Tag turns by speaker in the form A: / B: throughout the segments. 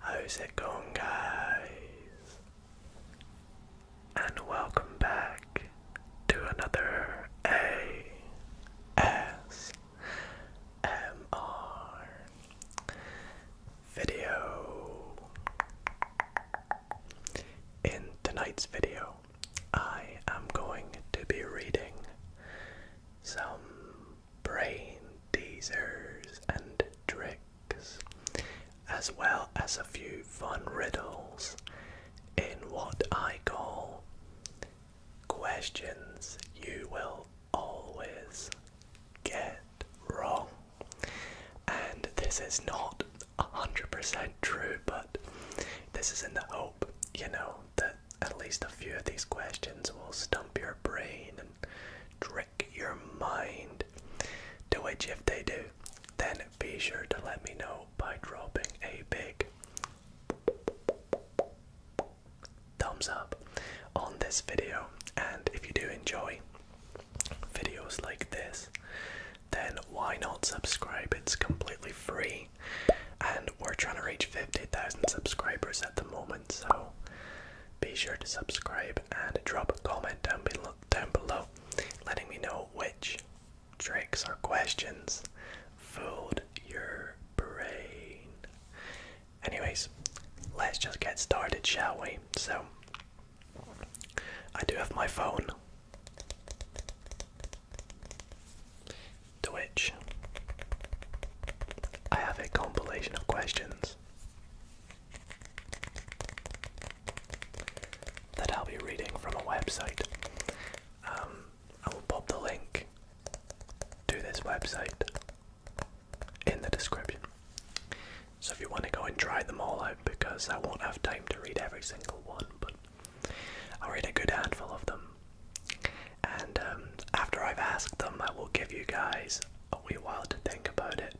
A: How's it going, guys? And welcome back to another ASMR video. In tonight's video, I am going to be reading some brain teasers and tricks, as well as a few fun riddles in what I call questions you will always get wrong. And this is not 100% true, but this is in the hope you know, that at least a few of these questions will stump your brain and trick your mind. To which, if they do, then be sure to let me know by dropping a big thumbs up on this video. And if you do enjoy videos like this, then why not subscribe? It's completely free, and we're trying to reach 50,000 subscribers at the moment, so be sure to subscribe and drop a comment down below, letting me know which tricks or questions fooled your brain. Anyways, let's just get started, shall we? So, I do have my phone to which I have a compilation of questions that I'll be reading from a website. Um, I will pop the link to this website in the description. So if you want to go and try them all out, because I won't have time to read every single one, but I'll read a good handful of them. And um, after I've asked them, I will give you guys a wee while to think about it.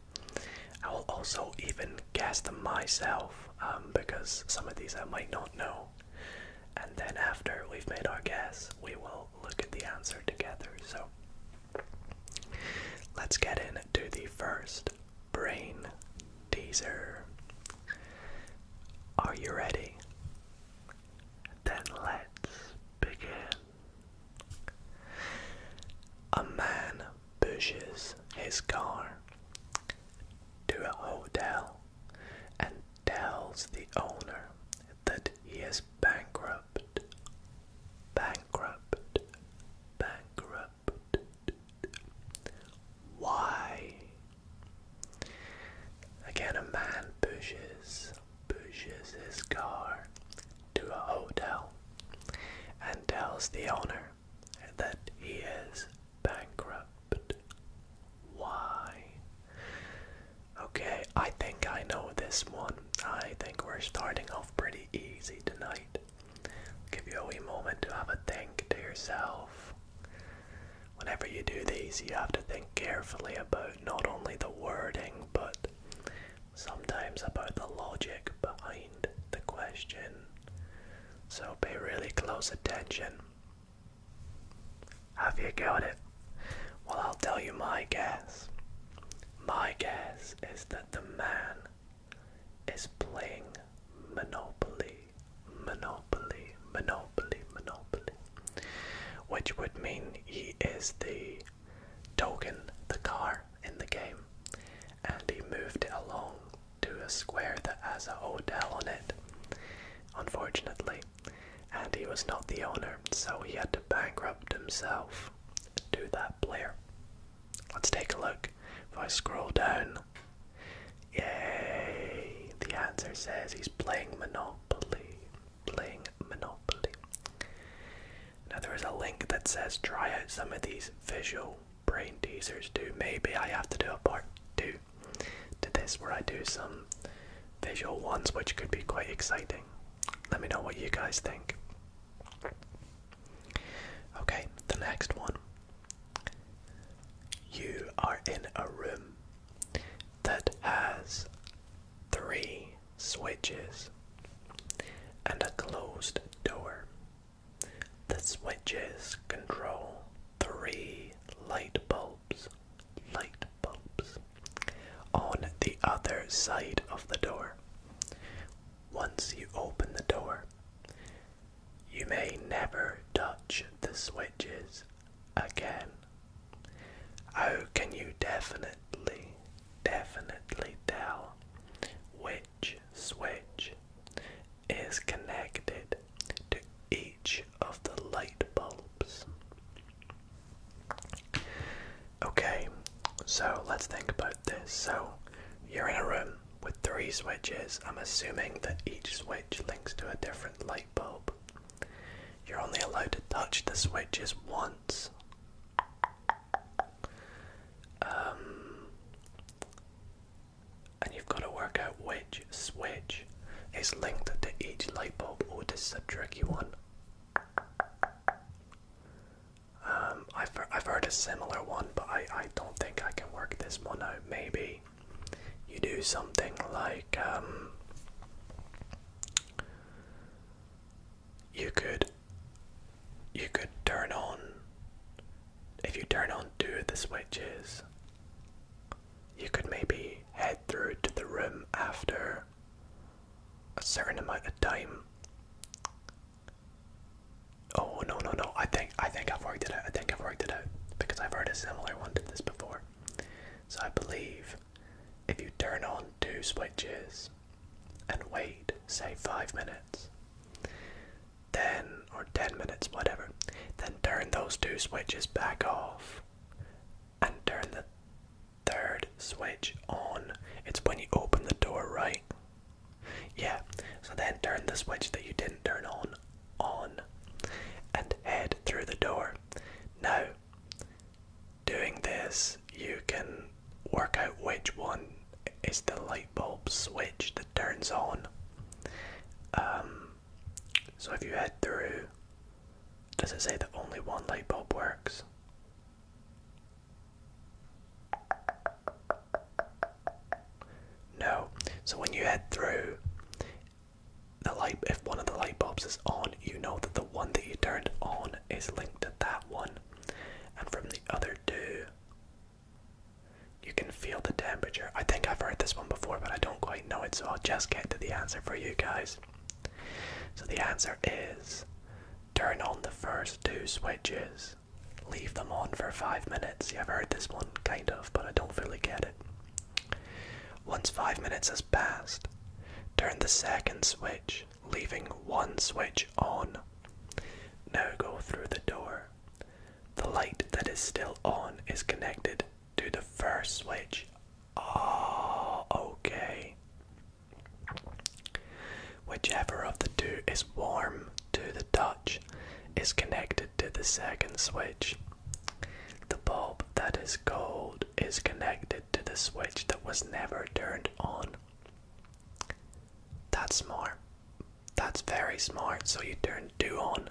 A: I will also even guess them myself um, because some of these I might not know. And then after we've made our guess, we will look at the answer together. So let's get into the first brain teaser. Are you ready? Then let's begin. A man pushes his car to a hotel and tells the owner that he is bankrupt. Bankrupt. Bankrupt. Why? Again, a man pushes, pushes his car to a hotel and tells the owner that he is bankrupt. Why? Okay, I think I know this one. I think we're starting off pretty easy tonight. give you a wee moment to have a think to yourself. Whenever you do these, you have to think carefully about not only the wording, but sometimes about the logic behind the question. So pay really close attention. Have you got it? Well, I'll tell you my guess. My guess is that the man is playing monopoly, monopoly, monopoly, monopoly, which would mean he is the token, the car in the game, and he moved it along to a square that has a hotel on it, unfortunately, and he was not the owner, so he had to bankrupt himself to that player. Let's take a look. If I scroll down, Yay! The answer says he's playing Monopoly. Playing Monopoly. Now there is a link that says try out some of these visual brain teasers too. Maybe I have to do a part two to this where I do some visual ones which could be quite exciting. Let me know what you guys think. Okay, the next one you are in a room that has three switches and a closed door. The switches control three light bulbs. Light bulbs on the other side of the door. Once you open the door, you may never touch the switches again. How oh, can you definitely, definitely tell which switch is connected to each of the light bulbs? Okay, so let's think about this. So, you're in a room with three switches, I'm assuming that each switch links to a different light bulb. You're only allowed to touch the switches once. Um, and you've got to work out which switch is linked to each light bulb. Oh, this is a tricky one. Um, I've, I've heard a similar one, but I, I don't think I can work this one out. Maybe you do something like um, you could you could turn on if you turn on do the switches you could maybe head through to the room after a certain amount of time. Oh no no no! I think. I think I've worked it out. I think I've worked it out because I've heard a similar one to this before. So I believe if you turn on two switches and wait, say five minutes, then or ten minutes, whatever, then turn those two switches back off and turn the third switch on. It's when you open the door, right? Yeah, so then turn the switch that you didn't turn on on and head through the door. Now, doing this, you can work out which one is the light bulb switch that turns on. Um, so if you head through, does it say that only one light bulb works? No. So when you head through, the light if one of the light bulbs is on, you know that the one that you turned on is linked to that one. And from the other two, you can feel the temperature. I think I've heard this one before, but I don't quite know it, so I'll just get to the answer for you guys. So the answer is turn on the first two switches. Leave them on for five minutes. Yeah, I've heard this one kind of, but I don't really get it. Once five minutes has passed, turn the second switch, leaving one switch on. Now go through the door. The light that is still on is connected to the first switch. Ah, okay. Whichever of the two is warm to the Dutch, is connected to the second switch. The bulb that is cold is connected to the switch that was never turned on. That's smart. That's very smart. So you turn two on,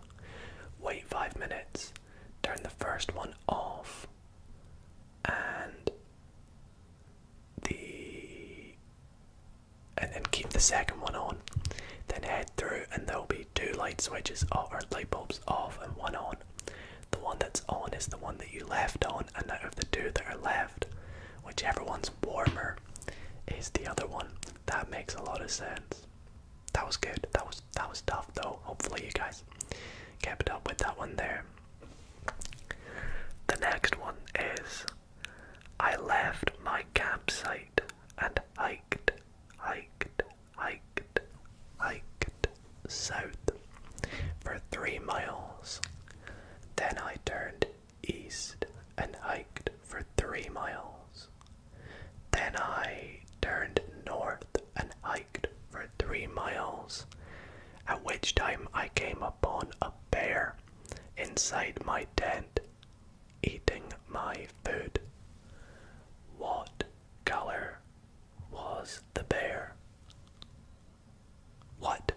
A: wait five minutes, turn the first one off, and the and then keep the second one on. Then head through, and there'll be two light switches off, or light bulbs off, and one on. The one that's on is the one that you left on, and out of the two that are left, whichever one's warmer is the other one. That makes a lot of sense. That was good. That was that was tough though. Hopefully you guys kept up with that one there. The next one is I left my campsite and hiked, hiked, hiked, hiked south for three miles. Then I turned east and hiked for three miles. Then I turned north and hiked for three miles, at which time I came upon a bear inside my tent eating my food. What color was the bear? What?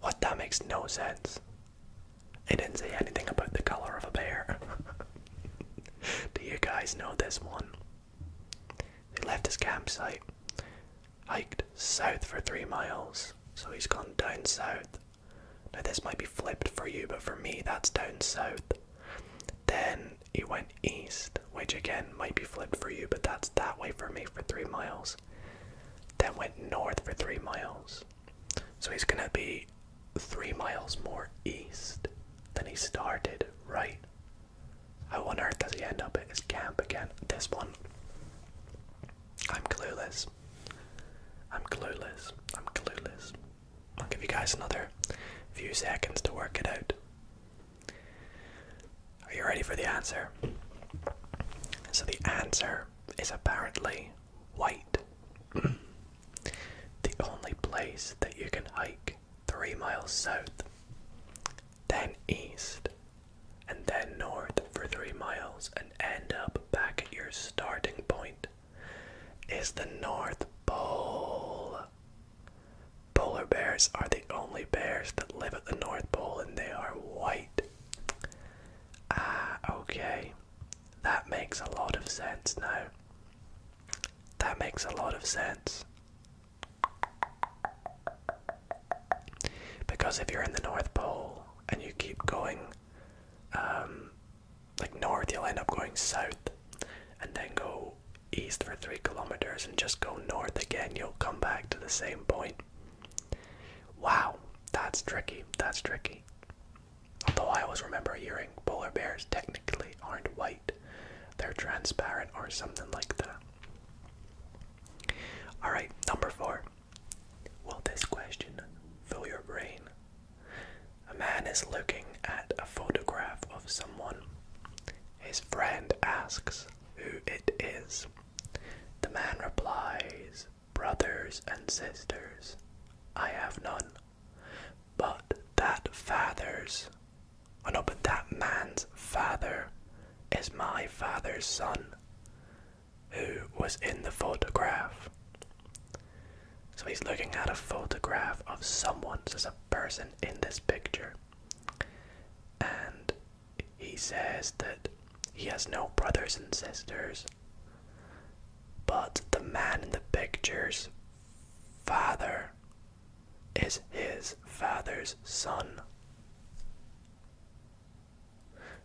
A: What? That makes no sense. It didn't say anything about the color of a bear. Do you guys know this one? He left his campsite, hiked south for three miles, so he's gone down south now, this might be flipped for you, but for me, that's down south. Then it went east, which again might be flipped for you, but that's that way for me for three miles. Then went north for three miles. So he's gonna be three miles more east than he started, right? How on earth does he end up at his camp again? This one I'm clueless. I'm clueless. I'm clueless. I'll give you guys another few seconds to work it out. Are you ready for the answer? So the answer is apparently white. the only place that you can hike three miles south, then east, and then north for three miles and end up back at your starting point is the North Pole. Polar bears are the only bears that live at the North Pole and they are white. Ah, okay. That makes a lot of sense now. That makes a lot of sense. Because if you're in the North Pole and you keep going um, like north, you'll end up going south and then go east for three kilometers and just go north again. You'll come back to the same point. Wow, that's tricky. That's tricky. Although I always remember hearing polar bears technically aren't white, they're transparent or something like that. Alright, number four. Will this question fill your brain? A man is looking at a photograph of someone. His friend asks who it is. The man replies, Brothers and sisters, I have none. But that father's, oh no, but that man's father is my father's son who was in the photograph. So he's looking at a photograph of someone, so there's a person in this picture. And he says that he has no brothers and sisters, but the man in the picture's father is his father's son.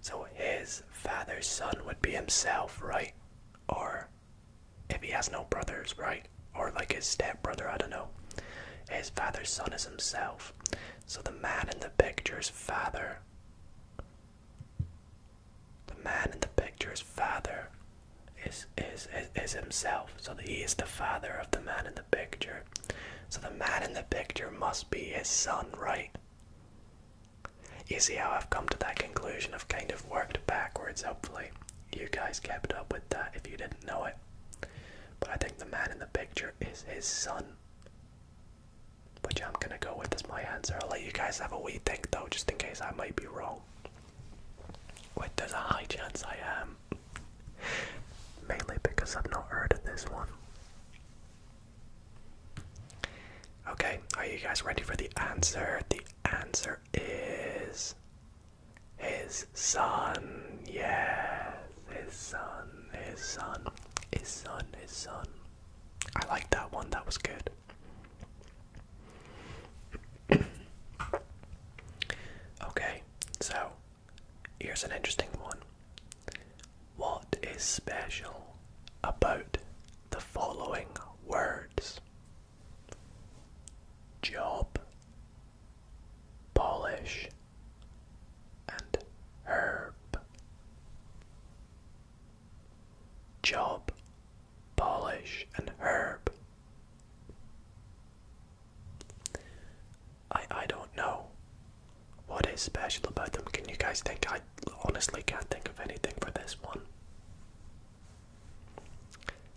A: So his father's son would be himself, right? Or if he has no brothers, right? Or like his stepbrother, I don't know. His father's son is himself. So the man in the picture's father. The man in the picture's father is is, is himself. So he is the father of the man in the picture. So the man in the picture must be his son, right? You see how I've come to that conclusion? I've kind of worked backwards, hopefully. You guys kept up with that if you didn't know it. But I think the man in the picture is his son. Which I'm gonna go with as my answer. I'll let you guys have a wee think though, just in case I might be wrong. Which there's a high chance I am. Mainly because I've not heard of this one. Okay, are you guys ready for the answer? The answer is his son. Yes, his son, his son, his son, his son. I like that one, that was good. okay, so here's an interesting one. What is special about the following words job, polish, and herb. Job, polish, and herb. I I don't know what is special about them. Can you guys think I honestly can't think of anything for this one.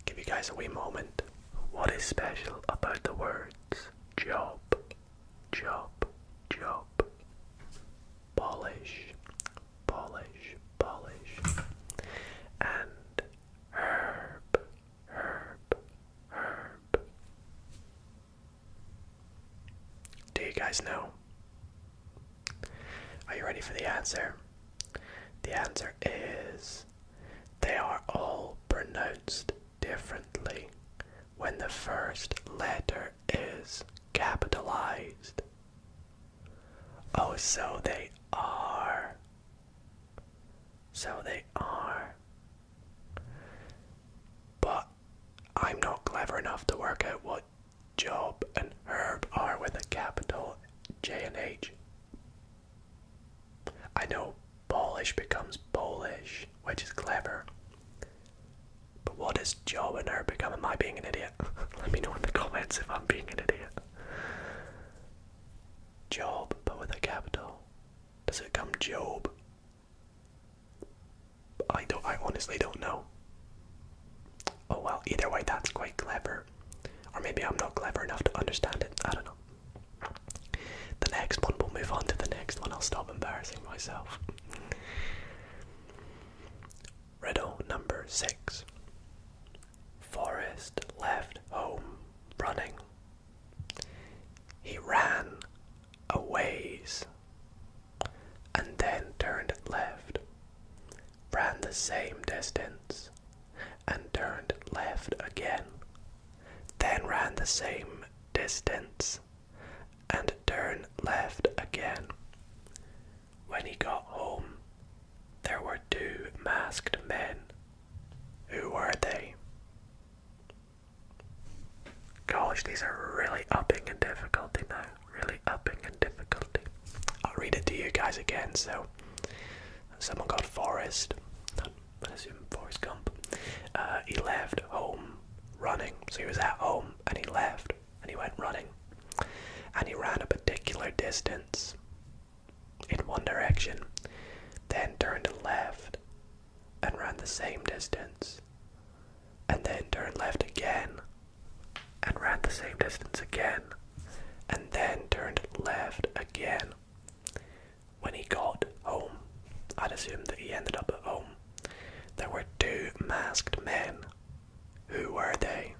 A: Give you guys a wee moment. What is special about the words job, job, job? Polish, polish, polish. And herb, herb, herb. Do you guys know? Are you ready for the answer? The answer is they are all pronounced differently when the first letter is capitalized. Oh, so they are. So they are. But I'm not clever enough to work out what Job and Herb are with a capital J and H. I know Polish becomes Polish, which is clever. But what does Job and Herb become? Am I being an idiot? Let me know in the comments if I'm being an idiot. Job, but with a capital. Does it become Job? I don't. I honestly don't know. Oh well. Either way, that's quite clever, or maybe I'm not clever enough to understand it. I don't know. The next one. We'll move on to the next one. I'll stop embarrassing myself. Riddle number six. Forest left home running. He ran a and then turned left, ran the same distance, and turned left again, then ran the same distance, and turned left again. When he got home, there were two masked men. Who were they? Gosh, these are really upping the difficulty now really upping in difficulty. I'll read it to you guys again. So, someone called Forest. I assume Forest Gump, uh, he left home running. So, he was at home and he left and he went running. And he ran a particular distance in one direction, then turned left and ran the same distance and then turned left again, and ran the same distance again, and then turned left again. When he got home, I'd assume that he ended up at home, there were two masked men. Who were they?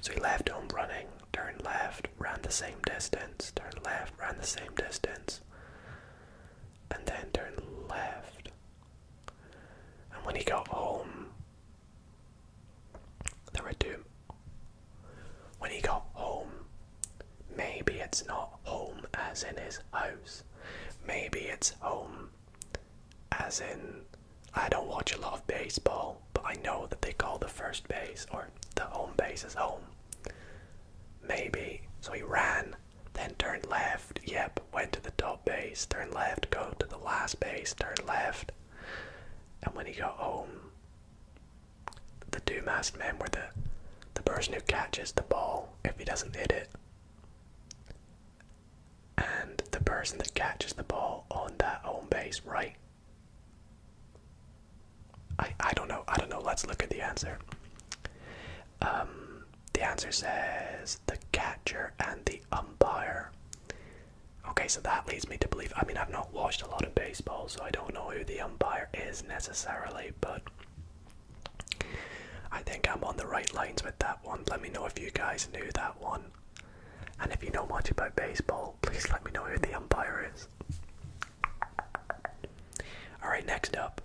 A: So he left home running, turned left, ran the same distance, turned left, ran the same distance, and then turned left. And when he got home, there were two. When he got home, maybe it's not home as in his house, maybe it's home as in I don't watch a lot of baseball, but I know that they call the first base or the home base as home. Maybe. So he ran, then turned left, yep, went to the top base, turned left, go to the last base, turned left. And when he got home, the two masked men were the the person who catches the ball if he doesn't hit it. And the person that catches the ball on that home base right I I don't know. I don't know. Let's look at the answer. Um, the answer says the catcher and the umpire. Okay, so that leads me to believe. I mean, I've not watched a lot of baseball, so I don't know who the umpire is necessarily, but I think I'm on the right lines with that one. Let me know if you guys knew that one. And if you know much about baseball, please let me know who the umpire is. Alright, next up.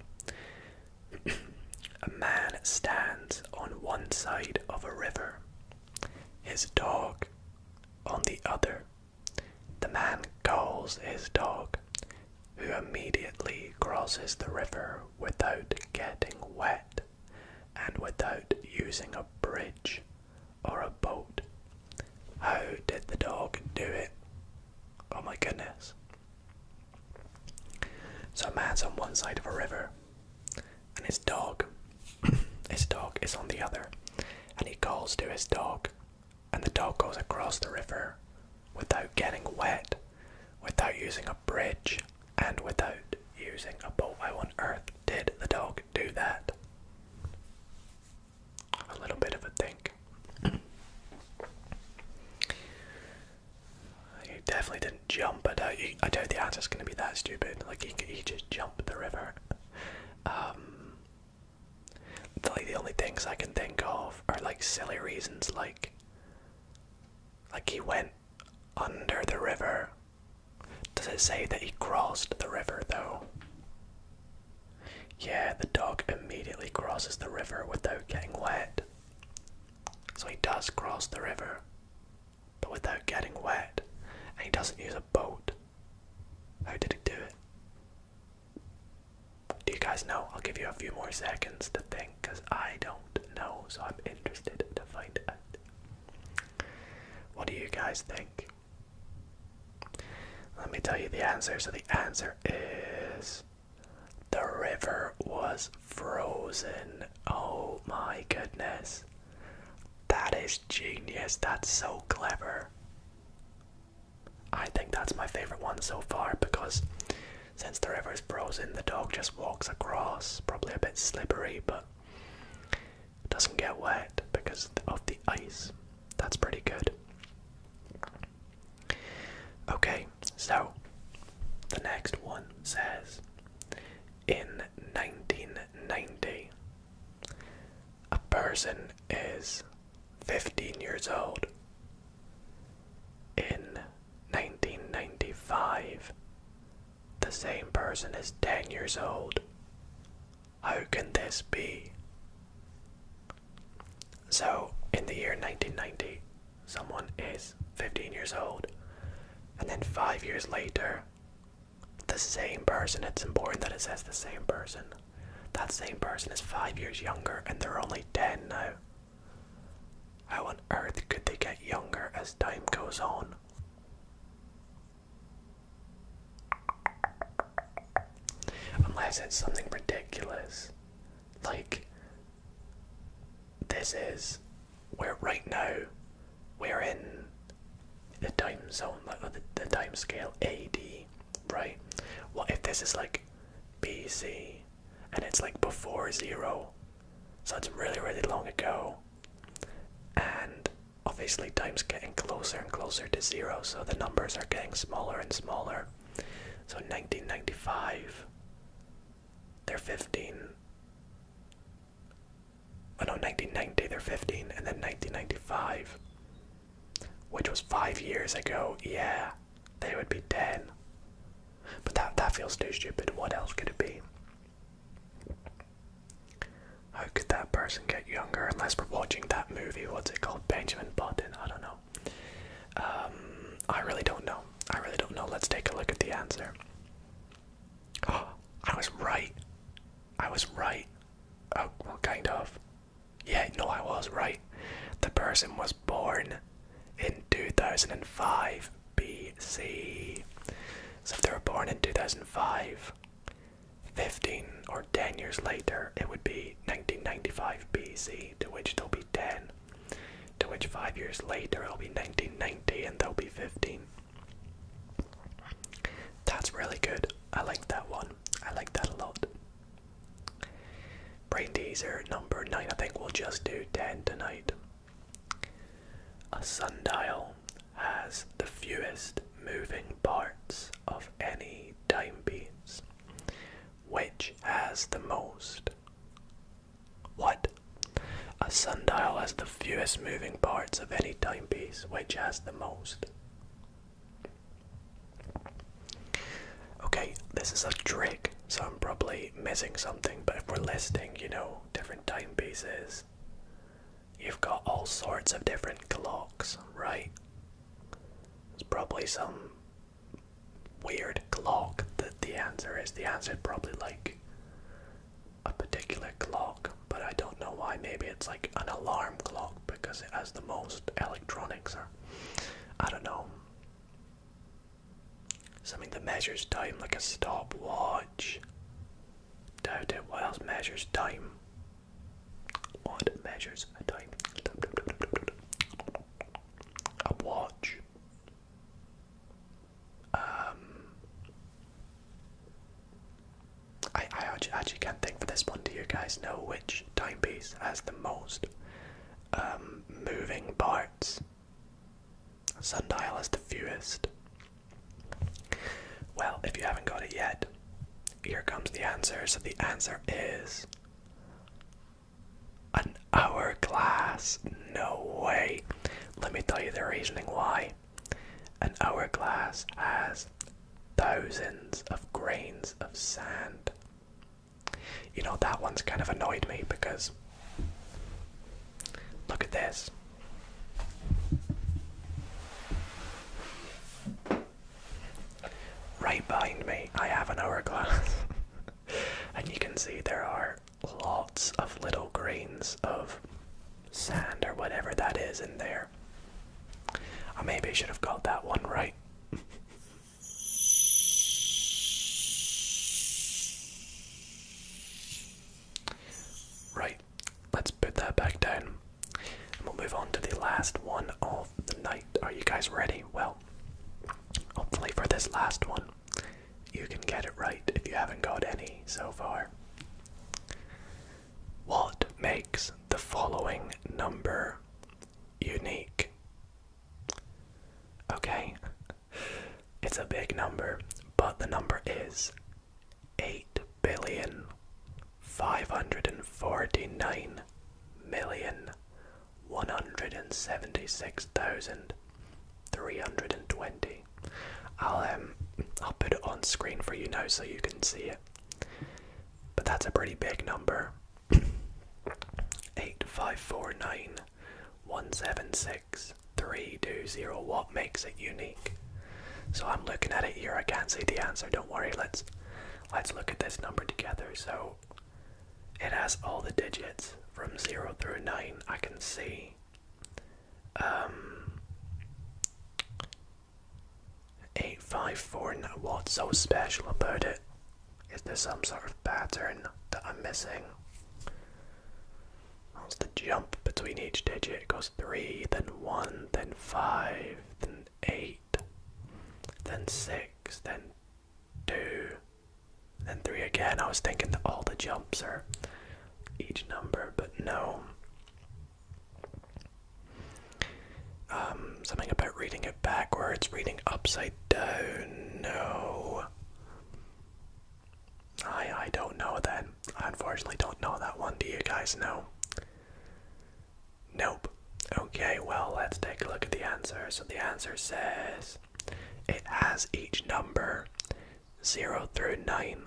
A: a man stands on one side of a river, his dog on the other. The man calls his dog, who immediately crosses the river without getting wet and without using a bridge or a boat? How did the dog do it? Oh my goodness. So a man's on one side of a river and his dog his dog is on the other and he calls to his dog and the dog goes across the river without getting wet, without using a bridge and without using a boat. How on earth did the dog do that. A little bit of a think. He definitely didn't jump. Uh, I I doubt the answer's going to be that stupid. Like he, he just jumped the river. Um, the only things I can think of are like silly reasons, like like he went under the river does it say that he crossed the river though? Yeah, the dog immediately crosses the river without getting wet. So he does cross the river, but without getting wet. And he doesn't use a boat. How did he do it? Do you guys know? I'll give you a few more seconds to think because I don't know, so I'm interested to find out. What do you guys think? Let me tell you the answer. So the answer is the river was frozen. Oh my goodness. That is genius. That's so clever. I think that's my favorite one so far because since the river is frozen, the dog just walks across. Probably a bit slippery, but doesn't get wet because of the ice. That's pretty good. Okay, so the next one says in 1990, a person is 15 years old. In 1995, the same person is 10 years old. How can this be? So, in the year 1990, someone is 15 years old, and then five years later, the same person, it's important that it says the same person, that same person is five years younger and they're only 10 now. How on earth could they get younger as time goes on? Unless it's something ridiculous. Like, this is where right now we're in the time zone, the, the time scale AD, right? What if this is like BC and it's like before zero? So it's really, really long ago. And obviously time's getting closer and closer to zero, so the numbers are getting smaller and smaller. So 1995, they're 15. I know, 1990, they're 15, and then 1995, which was five years ago, yeah, they would be 10. But that, that feels too stupid. What else could it be? How could that person get younger unless we're watching that movie? What's it called? Benjamin Button? I don't know. Um, I really don't know. I really don't know. Let's take a look at the answer. I was right. I was right. Oh, well, kind of. Yeah, no, I was right. The person was born in 2005 BC. So if they were born in 2005, 15 or 10 years later, it would be 1995 BC, to which there'll be 10, to which 5 years later, it'll be 1990 and there'll be 15. That's really good. I like that one. I like that a lot. Brain teaser number 9. I think we'll just do 10 tonight. A sundial has the fewest moving parts of any timepiece. Which has the most? What? A sundial has the fewest moving parts of any timepiece. Which has the most? Okay, this is a trick, so I'm probably missing something, but if we're listing, you know, different timepieces, You've got all sorts of different clocks, right? There's probably some weird clock that the answer is. The answer is probably like a particular clock, but I don't know why. Maybe it's like an alarm clock because it has the most electronics, or I don't know. Something that measures time like a stopwatch. Time what else measures time? What measures time? A watch. Um, I I actually, actually can't think for this one. Do you guys know which timepiece has the most um, moving parts? Sundial has the fewest. Well, if you haven't got it yet, here comes the answer. So the answer is an hourglass. No way. Let me tell you the reasoning why. An hourglass has thousands of grains of sand. You know, that one's kind of annoyed me because look at this. Right behind me, I have an hourglass, and you can see there are lots of little grains of sand or whatever that is in there. I maybe should have got that one right. right, let's put that back down. And we'll move on to the last one of the night. Are you guys ready? Well, hopefully for this last one, you can get it right if you haven't got any so far. What makes the following number unique? Okay, it's a big number, but the number is eight billion five hundred and forty nine million one hundred and seventy six thousand three hundred and twenty. I'll um I'll put it on screen for you now so you can see it. But that's a pretty big number. eight five four nine one seven six is 320. What makes it unique? So I'm looking at it here. I can't see the answer. Don't worry. Let's let's look at this number together. So it has all the digits from 0 through 9. I can see um, eight five four. 8549. What's so special about it? Is there some sort of pattern that I'm missing? That's the jump between each digit. It goes 3, then 1, then 5, then 8, then 6, then 2, then 3 again. I was thinking that all the jumps are each number, but no. Um, something about reading it backwards, reading upside down, no. I I don't know that. I unfortunately don't know that one. Do you guys know? Nope. Okay, well, let's take a look at the answer. So the answer says it has each number 0 through 9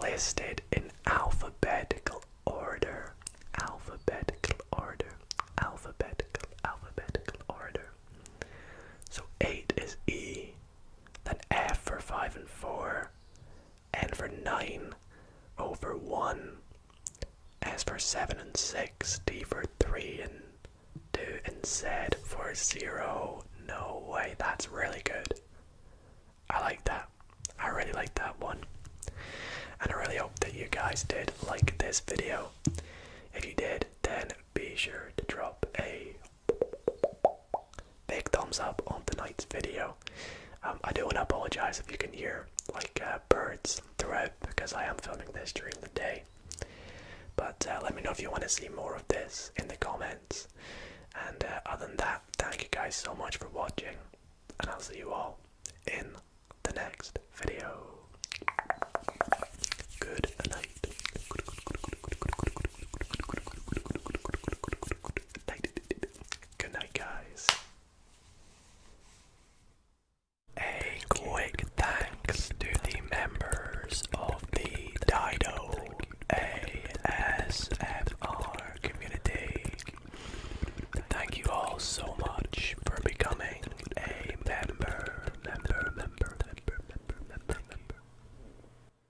A: listed in alphabetical order. Alphabetical order. Alphabetical, alphabetical order. So 8 is E. Then F for 5 and 4. N for 9. over 1. S for 7 and 6. D for 3 and 2. And Z for 0. No way, that's really good. I like that. I really like that one. And I really hope that you guys did like this video. If you did, then be sure to drop a Big thumbs up on tonight's video. Um, I do want to apologize if you can hear like uh, birds throughout because I am filming this during the day. But uh, let me know if you want to see more of this in the comments. And uh, other than that, thank you guys so much for watching, and I'll see you all in the next video. Good night. Good night, guys. A quick thanks to the members of the Dido ASMR community. Thank you all so much for becoming a member,